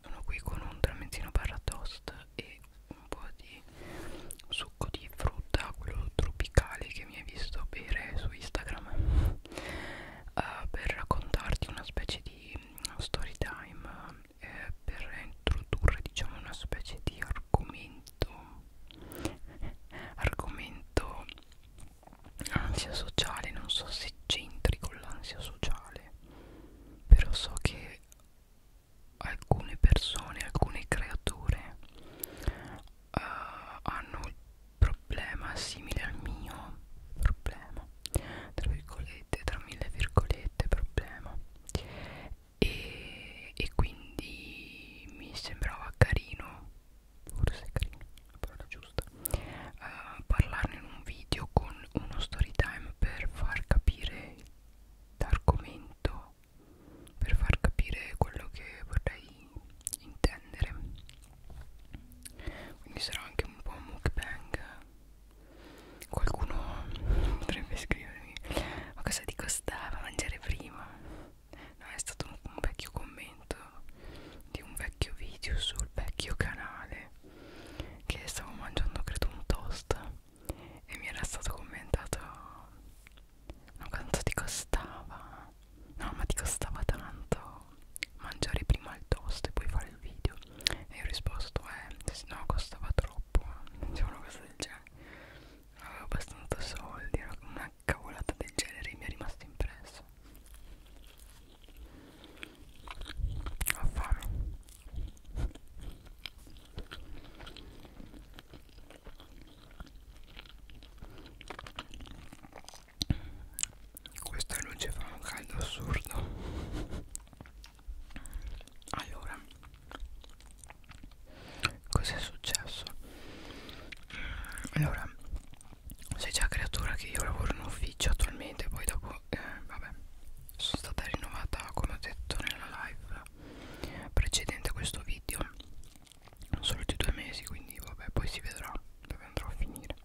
sono qui con un tramezzino barra toast e un po' di succo di frutta quello tropicale che mi hai visto bere su Instagram uh, per raccontarti una specie di story time eh, per introdurre diciamo una specie di argomento argomento ansia sociale non so se c'entri con l'ansia sociale però so che alcune persone alcune creature uh, hanno il problema simile al mio problema tra virgolette tra mille virgolette problema e, e quindi mi sembrava carino forse è carino la parola giusta giusta uh, eh, parlarne in un video con uno story time per far capire l'argomento per far capire quello che vorrei intendere quindi sarà anche un po' un mukbang qualcuno potrebbe scrivermi ma cosa ti costava mangiare prima no è stato un, un vecchio commento di un vecchio video sul vecchio canale che stavo mangiando credo un toast e mi era stato commentato no quanto ti costava no ma ti costava tanto mangiare prima il toast e poi fare il video e io ho risposto eh se no costava troppo diciamo una cosa del genere non avevo abbastanza soldi era una cavolata del genere mi è rimasto impresso ho fame. Questa luce fa un caldo assurdo. Allora, cos'è successo? Allora, sei già creatura che io lavoro in ufficio attualmente poi dopo eh, vabbè sono stata rinnovata come ho detto nella live precedente a questo video solo di due mesi quindi vabbè poi si vedrà dove andrò a finire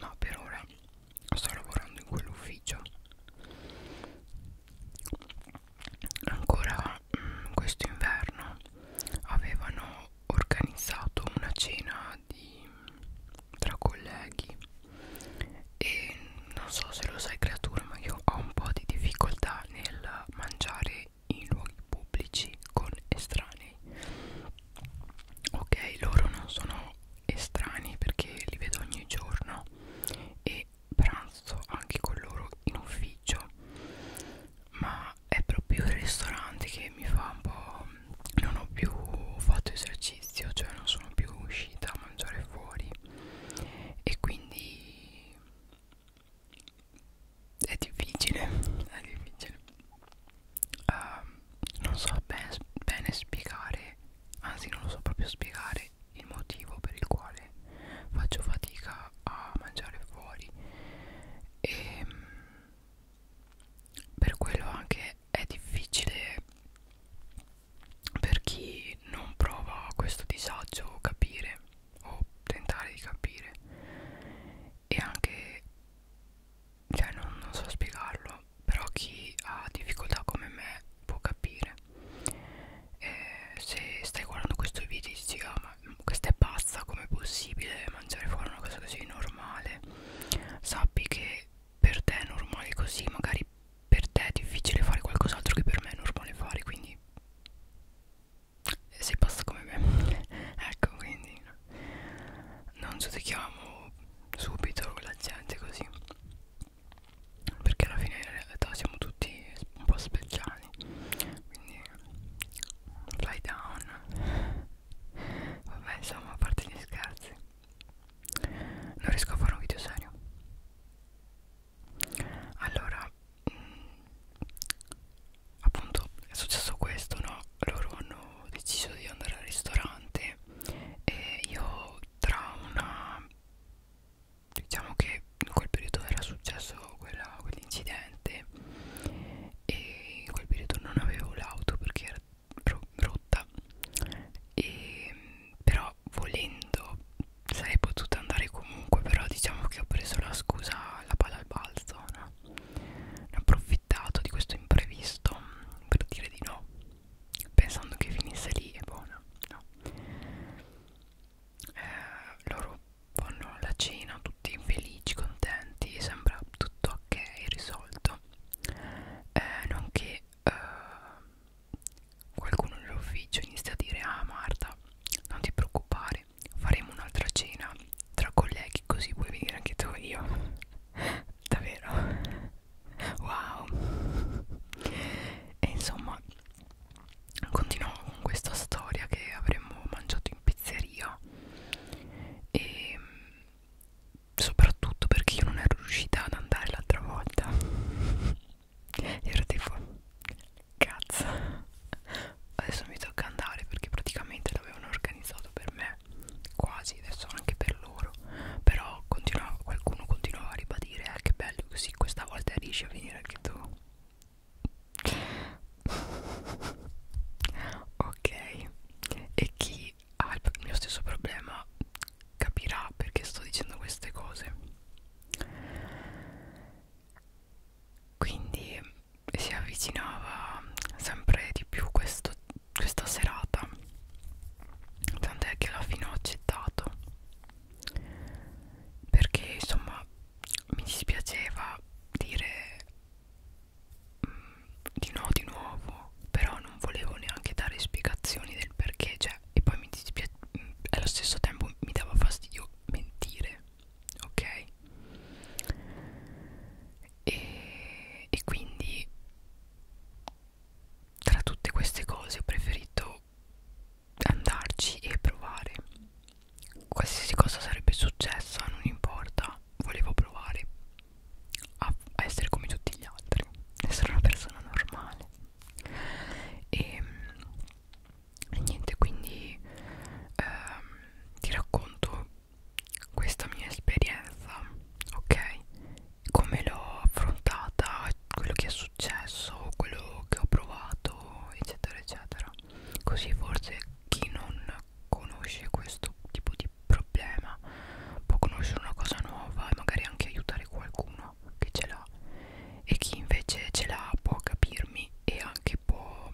ma no, per ora sto lavorando in quell'ufficio ancora mh, mm, questo inverno avevano organizzato una cena di tra colleghi e non so se lo sai creatura ma io ho un po' di difficoltà nel mangiare in luoghi pubblici con estranei ok loro non sono estranei perché li vedo ogni giorno e pranzo anche con loro in ufficio ma è proprio il ristorante che mi fa un po' non ho più fatto esercizio cioè non sono più uscita a mangiare fuori e quindi è difficile è difficile uh, non so ben, bene spiegare anzi non lo so proprio spiegare il motivo per il quale faccio fatica a mangiare fuori e ehm, per quello anche è difficile per chi non prova questo disagio capire o tentare di capire e anche cioè non, non so spiegarlo però chi ha difficoltà come me può capire eh, se stai guardando questo video e dici ah, ma questa è pazza com'è possibile mangiare fuori una cosa così normale sappi che per te è normale così magari per te è difficile fare qualcos'altro che per me è normale fare quindi sei passa come me ecco quindi non giudichiamo subito la gente così perché alla fine in realtà siamo tutti un po' speciali quindi fly down vabbè insomma a parte gli scherzi non riesco a fare un video serio allora mh, mm, appunto è successo questo no loro hanno deciso di andare al ristorante e io tra una diciamo che in quel periodo era successo quell'incidente quell e in quel periodo non avevo l'auto perché era brutta e, però volendo sarei potuta andare comunque però diciamo che ho preso la scusa la palla al balzo no? ne ho approfittato di questo imprevisto per dire di no pensando che finisse lì e buona no eh, loro fanno la cena tutti felici contenti sembra tutto ok risolto Live, eh, nonché eh, qualcuno nell'ufficio inizia a dire ah Marta non ti preoccupare faremo un'altra cena tra colleghi così vuoi venire anche tu e io davvero wow e insomma continuavo con questa storia che avremmo mangiato in pizzeria e ehm, soprattutto perché io non ero riuscita ad andare l'altra volta ero tipo cazzo adesso mi tocca andare perché praticamente l'avevano organizzato per me quasi adesso anche per loro però continuavo, qualcuno continuava a ribadire eh, che bello così questa volta riesci a venire anche tu ok e chi chi ah, ha il mio stesso problema capirà perché sto dicendo queste cose quindi si avvicinava sempre di più questo, questa serata tant'è che alla fine ho accettato perché insomma mi dispiaceva dire di no di nuovo però non volevo neanche dare spiegazioni del perché cioè e poi mi dispiace mm, allo stesso tempo mi dava fastidio mentire ok e, e quindi tra tutte queste cose ho preferito andarci e provare qualsiasi cosa sarebbe successa non importa volevo provare a, a essere come tutti gli altri, essere una persona normale. E, ehm, e niente, quindi ehm, ti racconto questa mia esperienza, ok? Come l'ho affrontata, quello che è successo, quello che ho provato, eccetera, eccetera. Così forse chi non conosce questo tipo di di problema può conoscere una cosa nuova e magari anche aiutare qualcuno che ce l'ha e chi invece ce l'ha può capirmi e anche può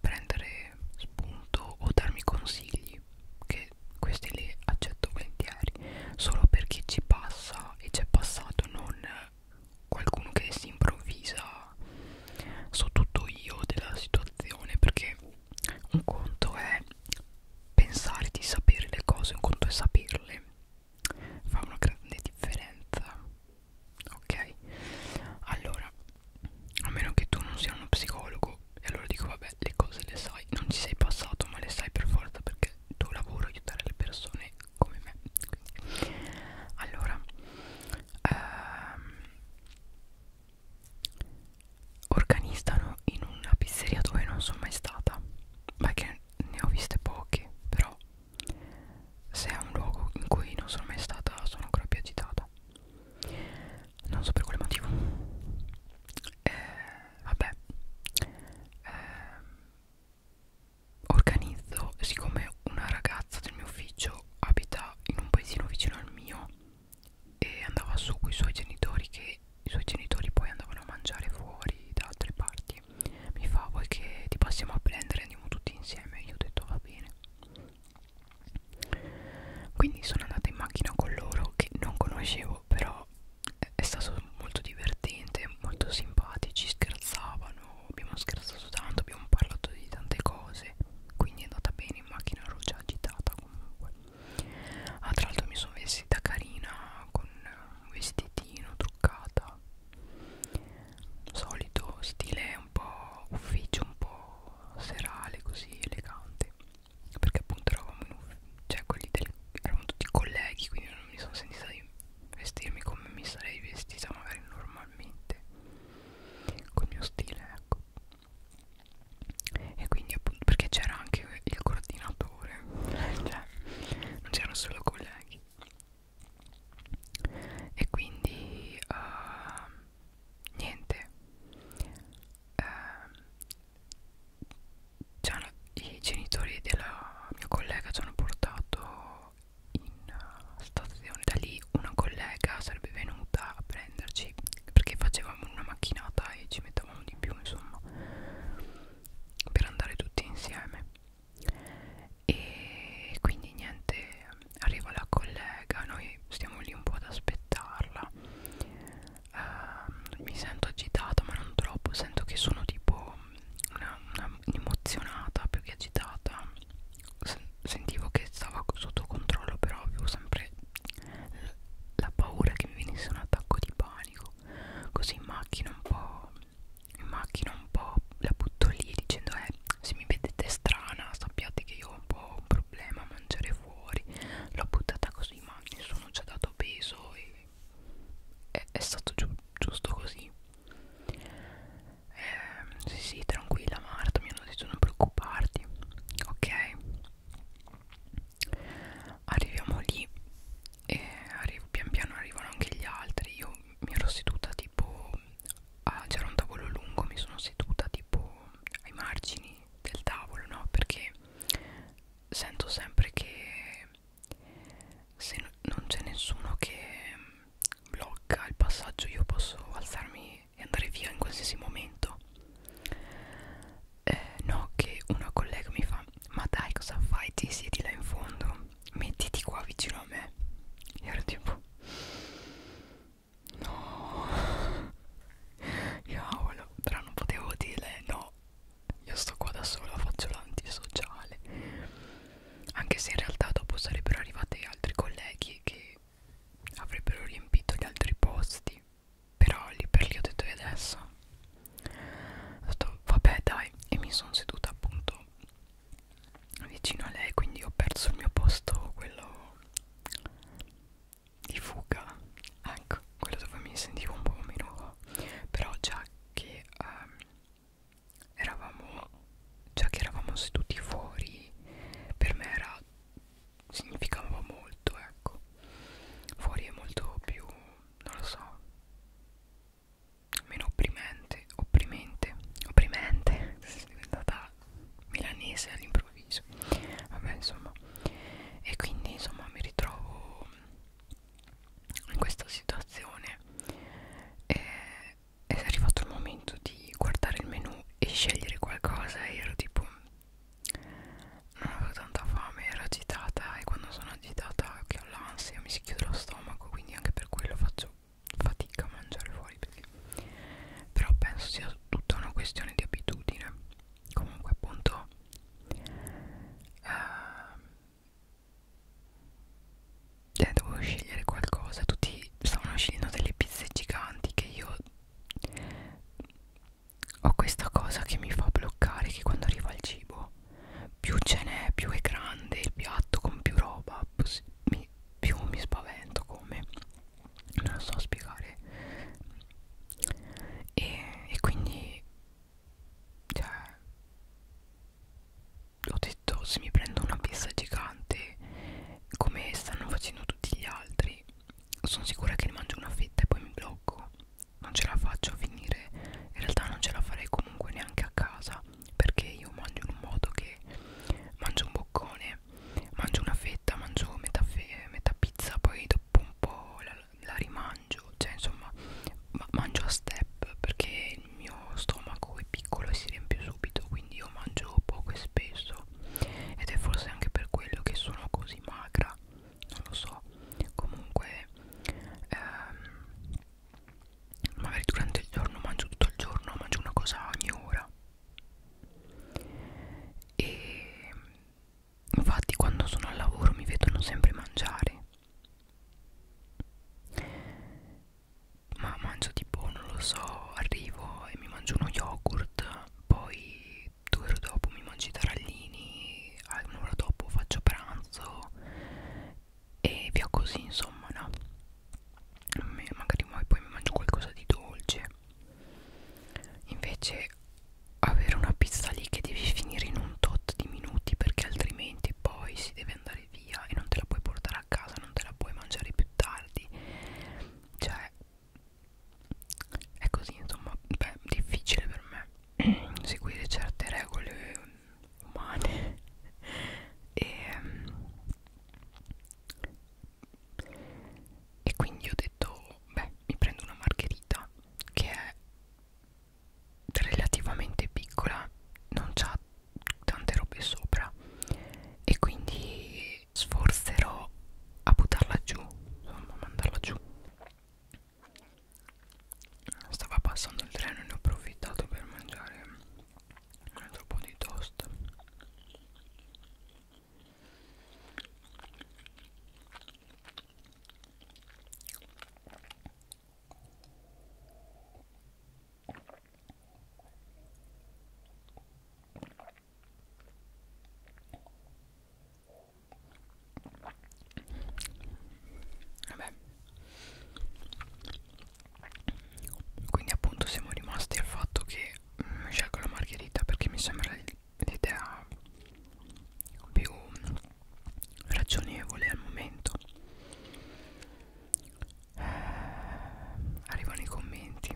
prendere spunto o darmi consigli che questi li accetto volentieri solo perché ci passa e c'è passato non qualcuno che si improvvisa so tutto io della situazione perché un conto è pensare di sapere le cose, un conto è saperle, fa una grande differenza, ok? Allora, a meno che tu non sia uno psicologo, e allora dico vabbè, le cose le sai, non ci sei passato, ma le sai per forza perché il tuo lavoro è aiutare le persone come me. Quindi. Allora, ehm, organizzano in una pizzeria dove non sono mai stata ma che ne ho viste poche però se è un luogo in cui non sono mai stata sono ancora più agitata non so per quale motivo eh, vabbè eh, organizzo siccome una ragazza del mio ufficio abita in un paesino vicino al mio e andava su con i suoi genitori che i suoi genitori poi andavano a mangiare fuori da altre parti mi fa vuoi che ti passiamo a prendere andiamo tutti insieme io ho detto va bene quindi sono andata in macchina con loro che non conoscevo però è stato molto divertente molto simpatici scherzavano abbiamo scherzato tanto abbiamo parlato di tante cose quindi è andata bene in macchina ero già agitata comunque Ah, tra l'altro mi sono vestita carina con un vestitino truccata. Solito stile un po' ufficio, un po' serale, così elegante. Perché appunto eravamo in ufficio, cioè quelli del, erano tutti colleghi, quindi non mi sono sentita di vestirmi come mi sarei vestita magari normalmente. Col mio stile, ecco e quindi appunto perché c'era anche il coordinatore cioè non c'erano solo colleghi e quindi uh, niente uh, i genitori del mio collega ci hanno portato in eh, stazione da lì una collega sarebbe venuta a prenderci perché facevamo una macchinata e ci mettevamo aspettavamo di più insomma per andare tutti insieme e quindi niente arriva la collega noi stiamo lì un po' ad aspettarla uh, mi sento agitata ma non troppo sento che sono tipo una, una emozionata più che agitata sentivo che stava sotto controllo però avevo sempre affrontare la paura che mi venisse un attacco di panico così in macchina un po' in macchina un po' la butto lì dicendo eh se mi vedete strana sappiate che io ho un po' un problema a mangiare fuori l'ho buttata così ma nessuno ci ha dato peso e è, è stato giu giusto così eh, sì sì tranquilla Marta mi hanno detto non preoccuparti ok arriviamo lì e arrivo, pian piano arrivano anche gli altri io mi ero seduta tipo c'era un tavolo lungo mi sono seduta tipo ai margini del tavolo no perché sento sempre che se non c'è nessuno che blocca il passaggio io posso alzarmi e andare via in qualsiasi momento eh, no che una collega mi fa ma dai cosa fai ti siedi là in fondo mettiti qua vicino a me e ero tipo no cavolo però non potevo dirle no io sto qua da sola faccio l'antisociale anche se in realtà dopo sarebbero arrivati altri colleghi che avrebbero riempito gli altri posti però lì per lì ho detto e adesso ho detto vabbè dai e mi sono seduta appunto vicino a lei quindi ho perso il mio posto quello di fuga ecco quello dove mi sentivo un po' meno però già che um, eravamo già che eravamo seduti fuori per me era significava molto ecco fuori è molto più non lo so meno opprimente opprimente opprimente sono diventata milanese all'improvviso vabbè insomma e quindi insomma mi ritrovo in questa situazione e, è arrivato il momento di guardare il menu e scegliere qualcosa e ero tipo non avevo tanta fame, ero agitata e quando sono agitata che ho l'ansia mi si chiude lo stomaco, quindi anche per quello faccio fatica a mangiare fuori. Perché... Però penso sia tutta una questione di abitudine. Comunque appunto... Ehm, eh, dovevo scegliere qualcosa, tutti stavano scegliendo delle pizze giganti che io ho questa cosa che mi fa bloccare che quando arriva il cibo più ce n'è più è grande il piatto con più roba mi, più mi spavento come non lo so spiegare e, e quindi cioè ho detto se mi prendo una pizza gigante come stanno facendo tutti gli altri sono sicura che ne mangio una fetta e poi mi blocco non ce la faccio a finire in realtà non ce la farei comunque neanche a casa perché io mangio in un modo che mangio un boccone mangio una fetta mangio metà, fe metà pizza poi dopo un po' la, la rimangio cioè insomma ma mangio a step perché il mio stomaco è piccolo e si riempie subito quindi io mangio poco e spesso ed è forse anche per quello che sono così magra non lo so comunque ehm, magari durante il giorno mangio tutto il giorno mangio una cosa ogni ora e infatti quando sono al lavoro mi vedono sempre mangiare ma mangio tipo non lo so arrivo e mi mangio uno yogurt poi due ore dopo mi mangio i tarallini, un'ora dopo faccio pranzo e via così insomma no magari poi mi mangio qualcosa di dolce invece avere una pizza lì che devi finire in un tot di minuti perché altrimenti poi si deve andare via e non te la puoi portare a casa non te la puoi mangiare più tardi cioè è così insomma beh difficile per me seguire certe regole umane e, mm, e quindi ho detto beh mi prendo una margherita che è relativamente piccola non c'ha tante robe sopra e quindi sforzerò a buttarla giù insomma a mandarla giù stava passando il treno e ne ho approfittato per mangiare un altro po' di toast Vabbè. Quindi appunto siamo rimasti al fatto che mm, scelgo la margherita perché mi sembra l'idea più ragionevole al momento. Eh, arrivano i commenti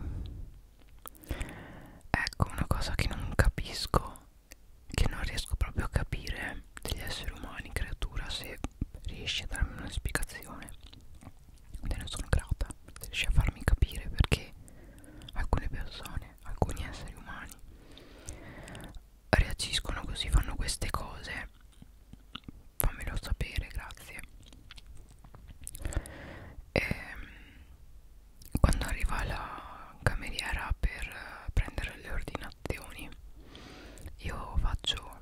Ecco una cosa che non capisco, che non riesco proprio a capire degli esseri umani, creatura, se riesci a darmi una spiegazione. Te ne sono grata, se riesci a farmi capire perché alcune persone, alcuni esseri umani reagiscono così, fanno queste cose. Fammelo sapere, grazie. E, ehm, quando arriva la cameriera per eh, prendere le ordinazioni io faccio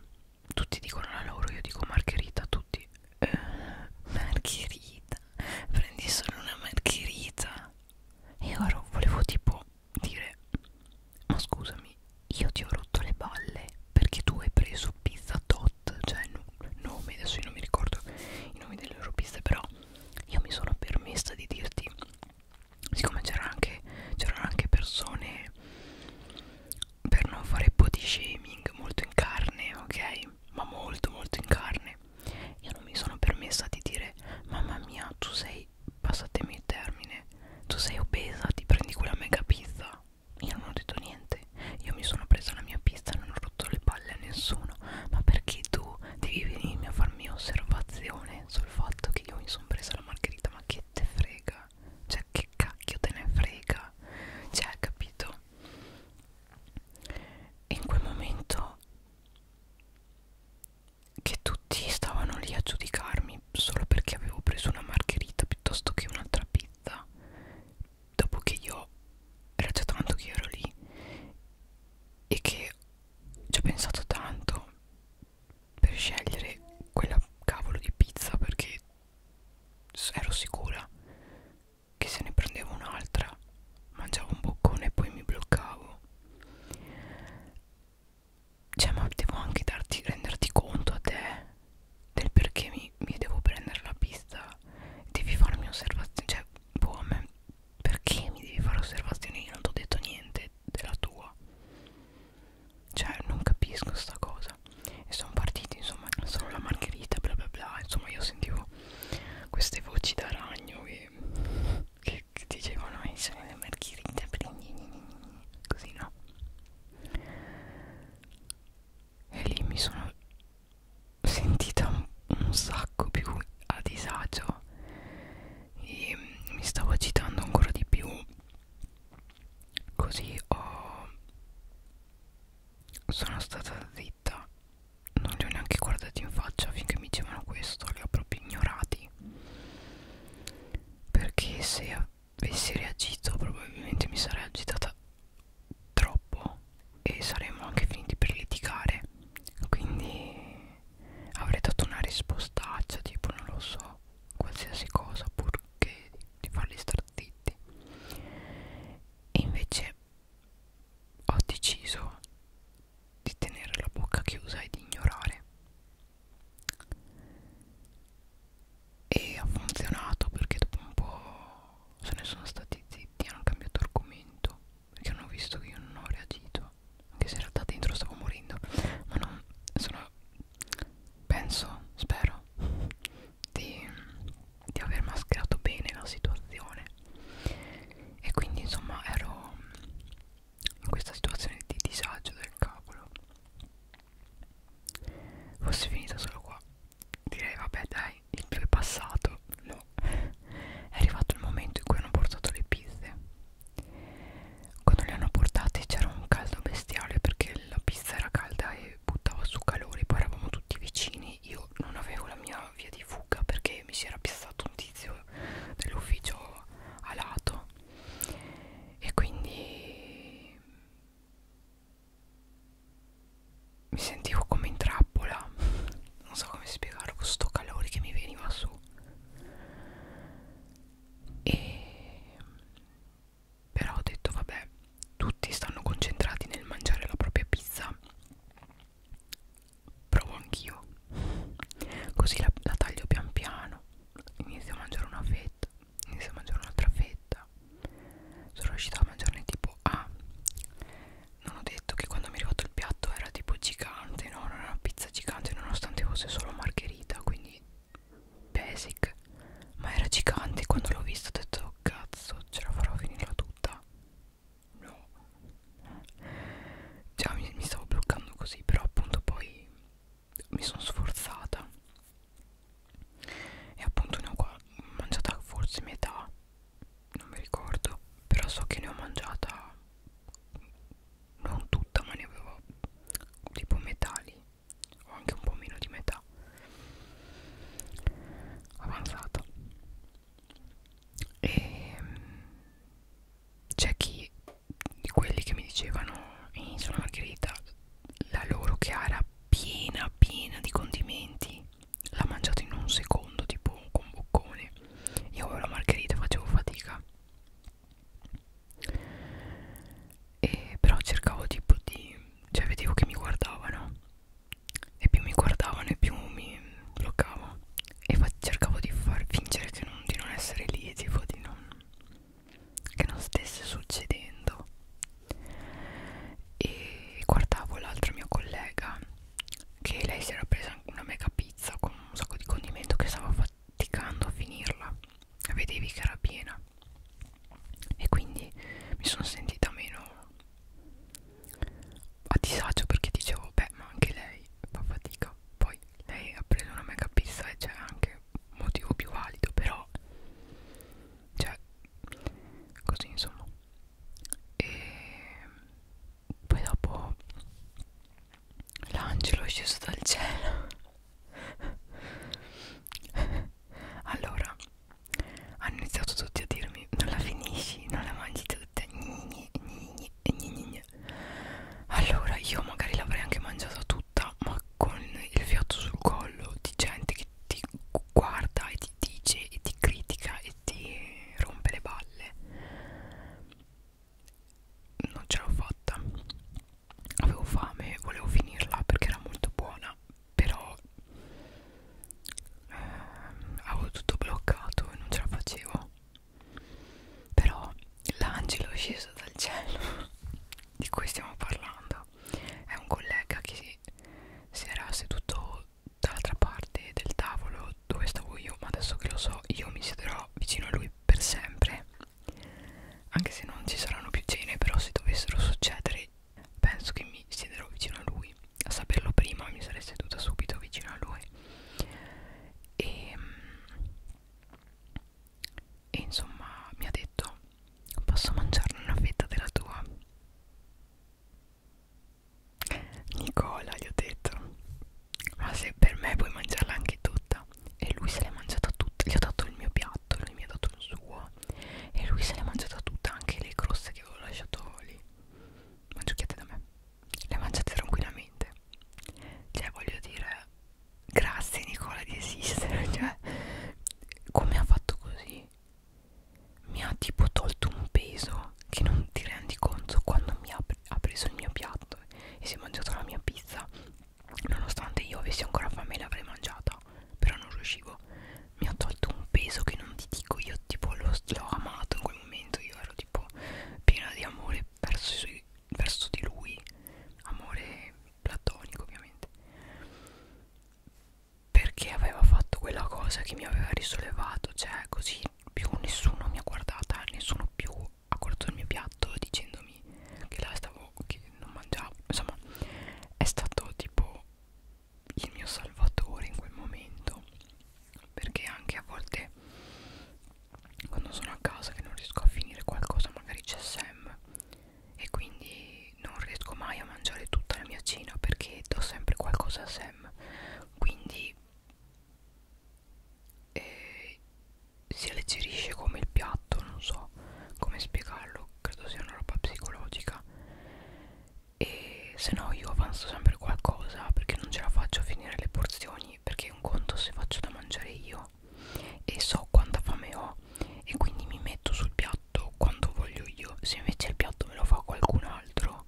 tutti dicono la loro io dico margherita tutti eh, margherita prendi solo una margherita e ora volevo tipo dire ma scusami io ti ho rotto le balle perché tu hai preso pizza tot cioè no, nome adesso io non mi ricordo i nomi delle loro pizze però io mi sono permessa di dirti siccome c'erano anche, anche persone per non fare body shaming molto in carne ok ma molto molto in carne io non mi sono permessa di dire mamma mia tu sei passatemi il termine tu sei obesa ti prendi quella mega pizza io non ho detto niente io mi sono presa la mia pizza e non ho rotto le palle a nessuno ma perché tu devi venirmi a farmi osservazione sul fatto che io mi sono presa la margherita ma che te frega cioè che cacchio te ne frega cioè capito e in quel momento che tutti stavano lì a giudicarmi solo perché avevo preso una margherita piuttosto che un'altra pizza dopo che io era già tanto che ero lì e che ci ho pensato tanto per scegliere quella cavolo di pizza perché ero sicura che se ne prendevo un'altra mangiavo un boccone e poi mi bloccavo cioè ma devo anche darti, renderti conto a te del perché mi, mi devo prendere la pizza devi farmi osservazione cioè boh a me perché mi devi fare osservazioni? Io non ti ho detto niente della tua. Cioè, non capisco sta cosa. E sono partiti, insomma, sono la margherita, bla bla bla. Insomma, io sentivo queste voci da ragno che, che, che dicevano: eh, sono la margherita, così no. E lì mi sono sentita un, un sacco più a disagio e mi stavo agitando ancora di più così ho sono stata zitta non li ho neanche guardati in faccia finché mi dicevano questo li ho proprio ignorati perché se avessi reagito probabilmente mi sarei agitata troppo e saremmo anche finiti per litigare quindi avrei dato una rispostaccia tipo non lo so qualsiasi cosa purché di farli star zitti e invece ho deciso di tenere la bocca chiusa e di ignorare e ha funzionato perché dopo un po' se ne sono stati zitti hanno cambiato argomento perché hanno visto che io non ho reagito anche se in realtà dentro stavo morendo ma non sono penso spero di, di aver mascherato bene la situazione e quindi insomma ero in questa situazione di disagio del cavolo fosse finita solo qua direi vabbè dai ormai il più è passato no. è arrivato il momento in cui hanno portato le pizze quando le hanno portate c'era un caldo bestiale perché la pizza era calda e buttava su calore poi eravamo tutti vicini io non avevo la mia via di fuga perché mi si era piazzato un tizio dell'ufficio a lato e quindi mi sentivo come in trappola non so come spiegarlo questo calore che mi veniva su e però ho detto vabbè tutti stanno concentrati nel mangiare la propria pizza provo anch'io così la, la taglio pian piano inizio a mangiare una fetta inizio a mangiare un'altra fetta sono riuscita a mangiarne tipo a ah, non ho detto che quando mi è arrivato il piatto era tipo gigante, no? Era una pizza gigante nonostante fosse solo margherita, quindi basic. Ma era gigante quando l'ho vista ho detto cazzo, ce la farò a finirla tutta. No. Già mi, mi stavo bloccando così, però appunto poi mi sono sforzata. E appunto ne ho qua mangiata forse metà non mi ricordo però so che ne ho mangiata non tutta ma ne avevo tipo metà lì o anche un po' meno di metà avanzata e ehm, c'è chi di quelli che mi dicevano in Sono Margherita la loro chiara piena piena di condimenti l'ha mangiato in un secondo tipo con bocconi io avevo la margherita facevo fatica e però cercavo tipo di cioè vedevo che mi guardavano e più mi guardavano e più mi bloccavo e cercavo di far fingere che non, di non essere lì tipo di non che non stesse succedendo e guardavo l'altra mia collega che lei si era presa una mega pizza con un sacco di condimento che stava faticando a finirla vedevi che era piena e quindi mi sono sentita meno a disagio perché dicevo beh ma anche lei fa fatica poi lei ha preso una mega pizza e c'è anche un motivo più valido però cioè così insomma e poi dopo l'angelo è sceso dal cielo allora hanno iniziato tutti a dirmi non la finisci non la mangi tutta gnigne, gnigne, gnigne. allora io magari l'avrei anche mangiata tutta ma con il fiato sul collo di gente che ti guarda e ti dice e ti critica e ti rompe le balle non ce l'ho fatta avevo fame volevo finirla perché era molto buona però ehm, avevo tutto bloccato e non ce la facevo però l'angelo è sceso dal cielo di cui stiamo parlando è un collega che si era seduto dall'altra parte del tavolo dove stavo io ma adesso che lo so io mi siederò vicino a lui per sempre anche se non ci saranno più cene però se dovessero succedere penso che mi siederò vicino a lui a saperlo prima mi sarei seduta subito vicino a lui e, ehm, e insomma mi ha detto posso mangiarne una fetta della tua Nicola gli ho detto ma se per me puoi mangiarla anche tutta e lui se l'è mangiata tutta gli ho dato il mio piatto lui mi ha dato il suo e lui se l'è mangiata tutta anche le croste che avevo lasciato lì mangiucchiate da me le mangiate tranquillamente cioè voglio dire grazie Nicola di esistere cioè come ha fatto così mi ha tipo tolto un peso che non ti rendi conto quando mi ha, ha preso il mio piatto e si è mangiato la mia pizza nonostante io avessi ancora fame l'avrei mangiata però non riuscivo mi ha tolto un peso che non ti dico io tipo l'ho amato in quel momento io ero tipo piena di amore verso, sui, verso di lui amore platonico ovviamente perché aveva fatto quella cosa che mi aveva risollevato cioè così più nessuno mi ha guardata nessuno più ha guardato il mio piatto dicendomi che la stavo che non mangiavo insomma è stato tipo il mio salvatore in quel momento perché anche a volte quando sono a casa che non riesco a finire qualcosa magari c'è Sam e quindi non riesco mai a mangiare tutta la mia cena perché do sempre qualcosa a Sam quindi e si alleggerisce come il piatto non so come spiegarlo credo sia una roba psicologica e se no io avanzo sempre qualcosa perché non ce la faccio a finire le porzioni perché un conto se faccio da mangiare io e so quanta fame ho e quindi mi metto sul piatto quanto voglio io se invece il piatto me lo fa qualcun altro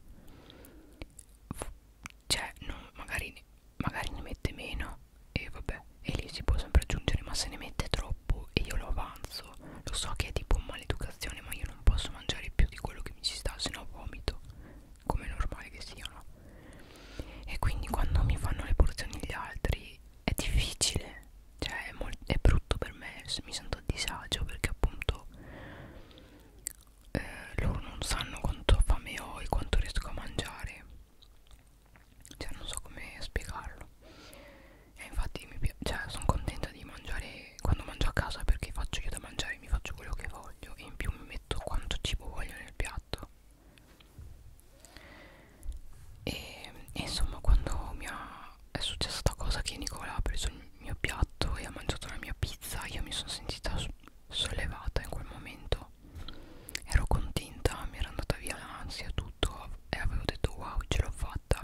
cioè non, magari, magari ne mette meno e vabbè e lì si può sempre aggiungere ma se ne mette troppo e io lo avanzo lo so che è tipo maleducazione ma io non posso mangiare più di quello che mi ci sta se no vomito come è normale che siano e quindi quando mi fanno le porzioni gli altri è difficile cioè è, è brutto per me mi sento a disagio perché appunto eh, loro non sanno quanto fame ho e quanto riesco a mangiare cioè non so come spiegarlo e infatti mi cioè, sono contenta di mangiare quando mangio a casa perché faccio io da mangiare mi faccio quello che voglio e in più mi metto quanto cibo voglio nel piatto e, e insomma quando mi ha, è successa questa cosa che Nicola ha preso il mio piatto e ha mangiato la mia pizza io mi sono sentita sollevata in quel momento ero contenta mi era andata via l'ansia tutto e avevo detto wow ce l'ho fatta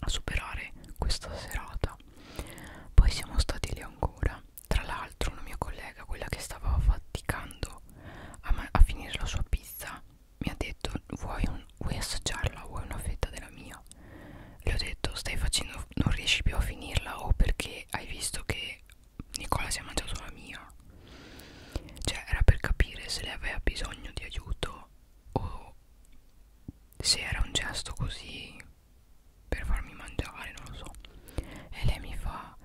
a superare questa serata poi siamo stati lì ancora tra l'altro una mia collega quella che stava faticando a, a finire la sua pizza mi ha detto vuoi, un, vuoi assaggiarla vuoi una fetta della mia le ho detto stai facendo non riesci più a finirla o perché hai visto che Nicola si è mangiato la mia cioè era per capire se lei aveva bisogno di aiuto o se era un gesto così per farmi mangiare non lo so e lei mi fa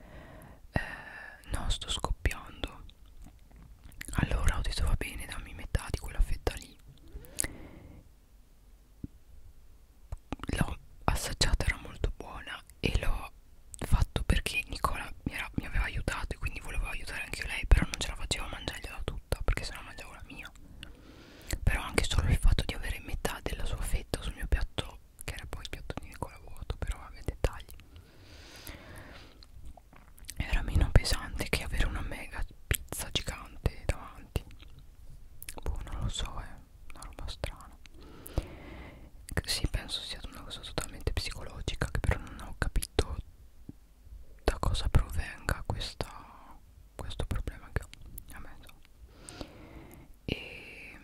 eh, no sto scoppiando allora ho detto va bene dammi metà di quella fetta lì l'ho assaggiata era molto buona e l'ho fatto perché Nicola mi, era, mi aveva aiutato e quindi volevo aiutare anche lei però non ce la facevo a mangiargliela tutta perché sennò mangiavo la mia però anche solo il fatto di avere metà della sua fetta sul mio piatto che era poi il piatto di Nicola vuoto però aveva dettagli era meno pesante che avere una mega pizza gigante davanti Boh, non lo so, è una roba strana. Sì, penso sia una cosa totalmente psicologica, che però non ho capito da cosa provenga questa, questo problema che ho a me. E,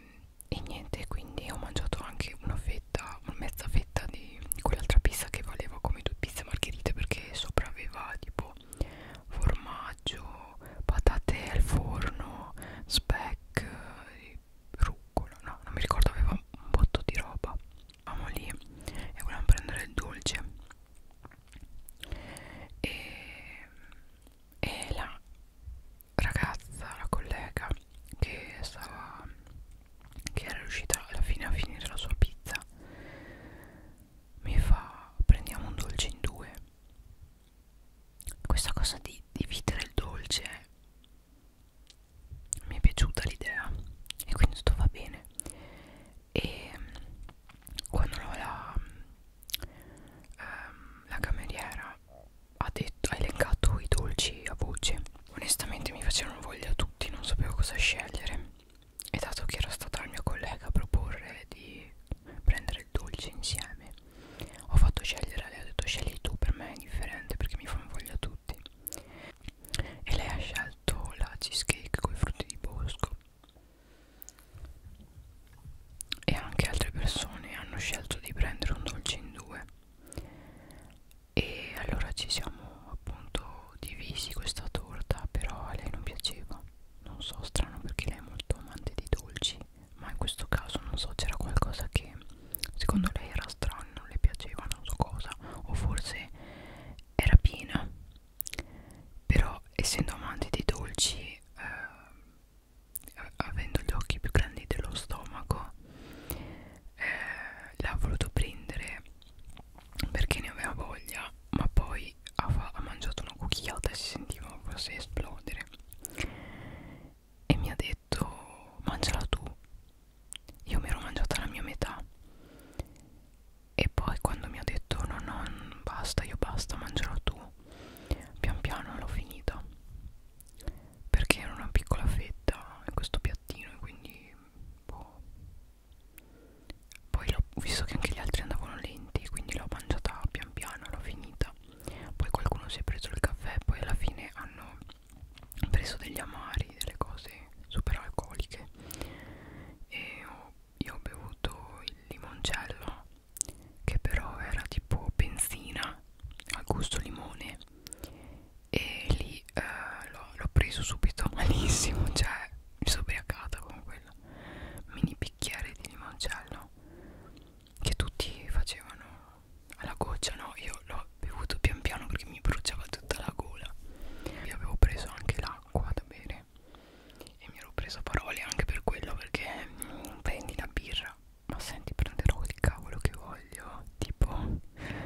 e niente, quindi ho mangiato anche una fetta, una mezza fetta di, di quell'altra pizza che valeva come due pizze margherite perché sopra aveva tipo formaggio, patate al forno, speck, eh, rucola, no, non mi ricordo, aveva un botto di roba. Eravamo lì e volevamo prendere il dolce. E, e la ragazza, la collega che stava che era riuscita alla fine a finire la sua pizza mi fa prendiamo un dolce in due questa cosa di dividere il dolce mi è piaciuta l'idea e quindi tutto va bene e mm, quando la, ehm, la cameriera ha, detto, ha elencato i dolci a voce onestamente mi facevano voglia tutti non sapevo cosa scegliere e dato che era stata la mia collega a proporre di prendere il dolce insieme ho fatto scegliere a lei ho detto scegli tu per me è indifferente perché mi fanno voglia tutti e lei ha scelto la cheesecake con i frutti di bosco e anche altre persone hanno scelto di prendere un dolce in due e allora ci siamo appunto divisi questa torta però a lei non piaceva non so, strano perché lei è molto amante di dolci, ma in questo caso non so, c'era qualcosa che secondo lei era strano, non le piaceva, non so cosa, o forse era piena. Però essendo amante di dolci, eh, avendo gli occhi più grandi dello stomaco, eh, l'ha voluto prendere perché ne aveva voglia, ma poi ha, ha mangiato una cucchiata e si sentiva quasi esplodere e mi ha detto mangiala tu io mi ero mangiata la mia metà e poi quando mi ha detto no no basta io basta mangiala tu pian piano l'ho finita perché era una piccola fetta in questo piattino e quindi boh, poi ho visto che anche gli altri andavano lenti, quindi l'ho mangiata pian piano, l'ho finita. Poi qualcuno si è preso il caffè, poi alla fine hanno preso degli amari, delle cose super alcoliche. E ho, io ho bevuto il limoncello, che però era tipo benzina al gusto limone. E lì eh, l'ho preso subito malissimo, cioè mi sono ubriacata con quello mini bicchieri di limoncello che tutti facevano alla goccia no io l'ho bevuto pian piano perché mi bruciava tutta la gola e avevo preso anche l'acqua da bere e mi ero preso parole anche per quello perché mh, mm, prendi la birra ma senti prenderò il cavolo che voglio tipo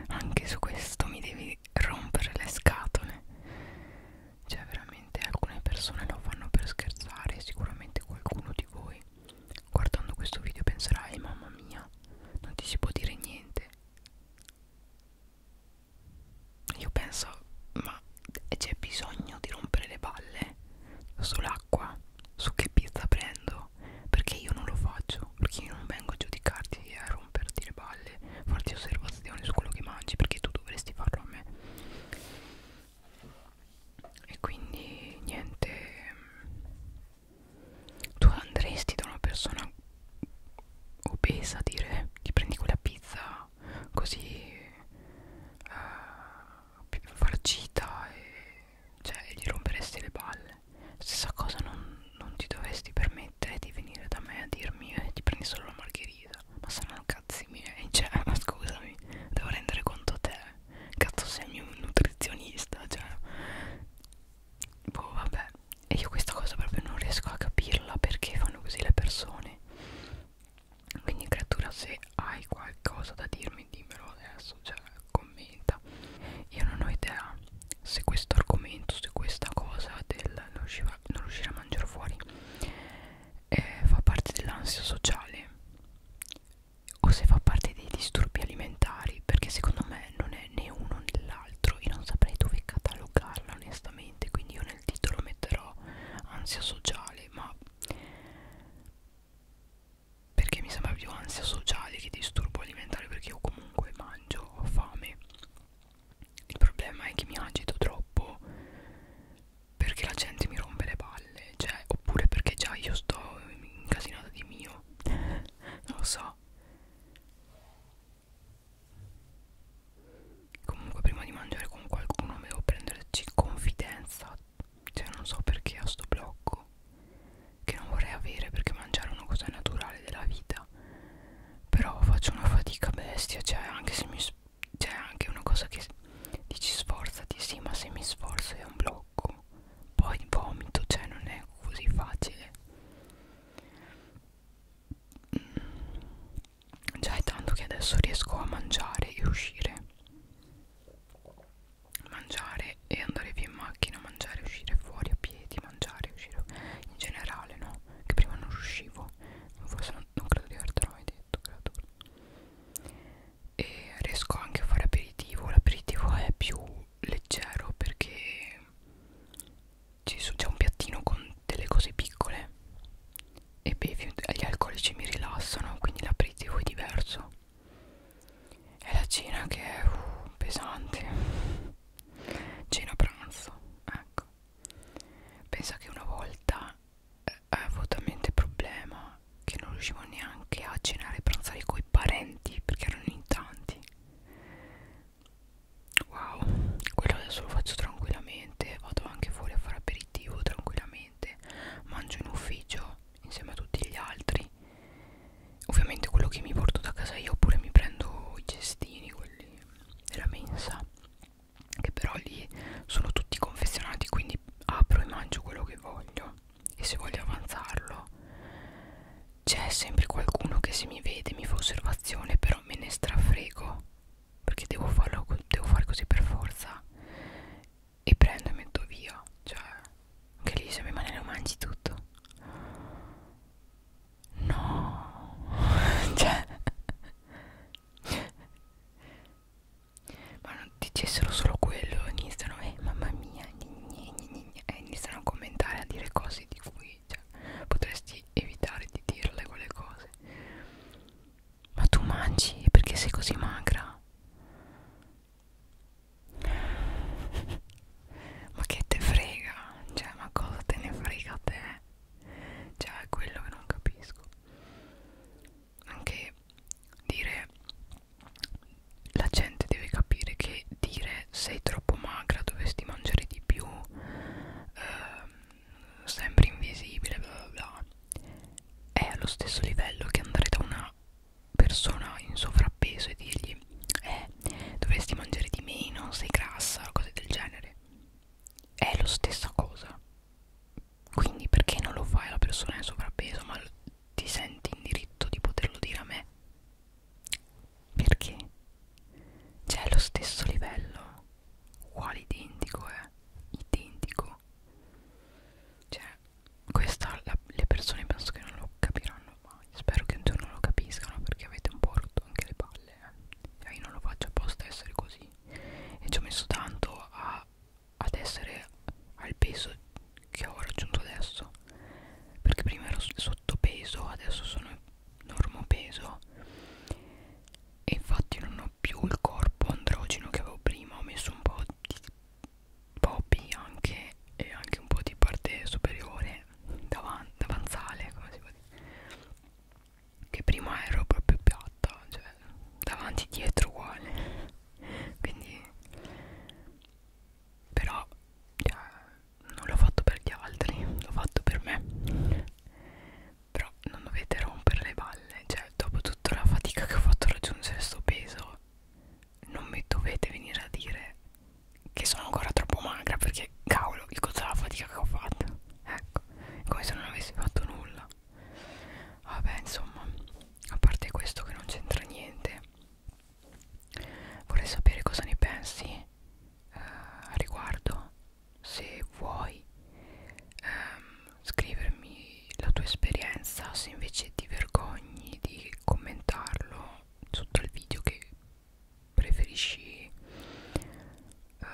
anche su questo mi devi rompere le scatole cioè veramente alcune persone lo fanno per scherzare sicuramente qualcuno di voi guardando questo video penserà eh mamma mia non ti si può dire niente io penso ma c'è bisogno di rompere le balle sull'acqua su che pizza prendo perché io non lo faccio perché io non vengo a giudicarti e a romperti le balle farti osservazioni su quello che mangi perché tu dovresti farlo a me e quindi niente mm, tu andresti da una persona obesa a dire ti prendi quella pizza così uh, farcita e cioè gli romperesti le palle stessa cosa non, non ti dovresti permettere di venire da me a dirmi eh, ti prendi solo la margherita vita ma saranno cazzi miei eh, cioè ma scusami devo rendere conto te cazzo sei mio nutrizionista cioè boh vabbè e io questa cosa proprio non riesco a capirla perché fanno così le persone quindi creatura se hai qualcosa da dirmi dimmelo adesso cioè commenta io non ho idea se questo argomento se questa cosa del non riuscire, non riuscire a mangiare fuori eh, fa parte dell'ansia sociale o se fa parte dei disturbi alimentari perché secondo me non è né uno né l'altro e non saprei dove catalogarla onestamente quindi io nel titolo metterò ansia sociale ma perché mi sembra più ansia sociale che disturbo alimentare perché io comunque mangio ho fame il problema è che mi agito troppo perché la gente mi rompe le palle, cioè, oppure perché già io sto incasinata di mio, non lo so. Comunque prima di mangiare con qualcuno devo prenderci confidenza, cioè non so perché ho sto blocco che non vorrei avere perché mangiare è una cosa naturale della vita però faccio una fatica bestia cioè anche se mi c'è anche una cosa che dici sforzati sì ma se mi sforzo è un blocco poi vomito cioè non è così facile mm. già è tanto che adesso riesco a mangiare e uscire mangiare e andare via in macchina mangiare uscire fuori a piedi mangiare uscire in generale no che prima non riuscivo forse non, non credo di aver trovato idea letto creatura e riesco anche a fare aperitivo l'aperitivo è più leggero perché c'è un piattino con delle cose piccole e bevi, gli alcolici mi rilassano quindi l'aperitivo è diverso è la cena che è uh, pesante cena pranzo ecco pensa che una volta avevo talmente problema che non riuscivo neanche a cenare e pranzare coi parenti perché erano in tanti wow quello adesso lo faccio tranquillamente vado anche fuori a fare aperitivo tranquillamente mangio in ufficio insieme a tutti gli altri ovviamente quello che mi porto da casa io oppure mi prendo i cestini quelli della mensa che però lì sono tutti confezionati quindi apro e mangio quello che voglio e se voglio avanzarlo c'è sempre qualcuno che se mi vede mi fa osservazione però me ne strafrego perché devo farlo devo fare così per forza e prendo e metto via cioè anche lì se mi mani lo mangi tutto no cioè ma non dicessero solo quello iniziano eh mamma mia gne, gne, gne, gne, e iniziano a commentare a dire cose di cui cioè, potresti evitare di dirle quelle cose ma tu mangi perché sei così magra ma che te frega cioè ma cosa te ne frega a te cioè quello che non capisco anche dire la gente deve capire che dire sei troppo magra dovresti mangiare di più eh, sempre invisibile bla bla bla è allo stesso livello che andare da una persona in sovrappeso e dirgli eh dovresti mangiare di meno sei grassa o cose del genere è la stessa cosa quindi perché non lo fai alla persona in sovrappeso ma ti senti in diritto di poterlo dire a me perché c'è cioè, lo stesso livello uguale identico è eh? identico cioè questa la, le persone penso che non lo capiranno mai spero che un giorno lo capiscano perché avete un po' rotto anche le palle eh? cioè io non lo faccio apposta essere così così e ci ho messo tanto a, ad essere al peso che ho raggiunto adesso perché prima ero sottopeso adesso sono normopeso e infatti non ho più il corpo androgeno che avevo prima ho messo un po' di popi anche e anche un po' di parte superiore davan davanzale come si può dire che prima ero proprio piatta cioè davanti dietro uguale quindi però cioè, non l'ho fatto per gli altri l'ho fatto per me però non dovete rompere le balle cioè dopo tutta la fatica che ho fatto a raggiungere sto peso non mi dovete venire a dire che sono ancora troppo magra perché cavolo il costo della fatica che ho fatto ecco è come se non avessi fatto nulla bella vabbè insomma a parte questo che non c'entra niente vorrei sapere cosa ne pensi eh, a riguardo se vuoi ehm, scrivermi la tua esperienza se invece ti vergogni di commentarlo sotto al video che preferisci eh,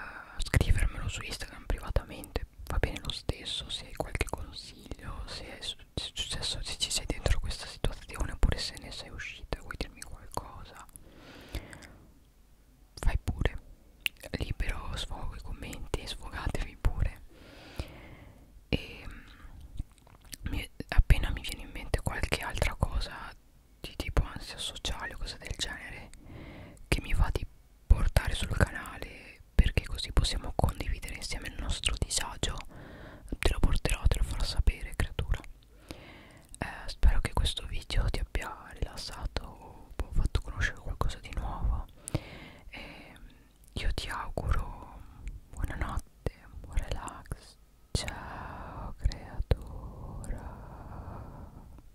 scrivermelo su Instagram privatamente va bene lo stesso se hai qualche consiglio se, è, se, se, se ci sei dentro questa situazione oppure se ne sei uscita vuoi dirmi qualcosa fai pure libero sfogo i commenti sfogatevi pure e mm, mi, appena mi viene in mente qualche altra cosa di tipo ansia sociale o cose del genere che mi va di portare sul canale perché così possiamo condividere insieme il nostro disagio te lo porterò, te lo farò sapere creatura eh, spero che questo video ti abbia rilassato o boh, fatto conoscere qualcosa di nuovo e io ti auguro buonanotte buon relax ciao creatura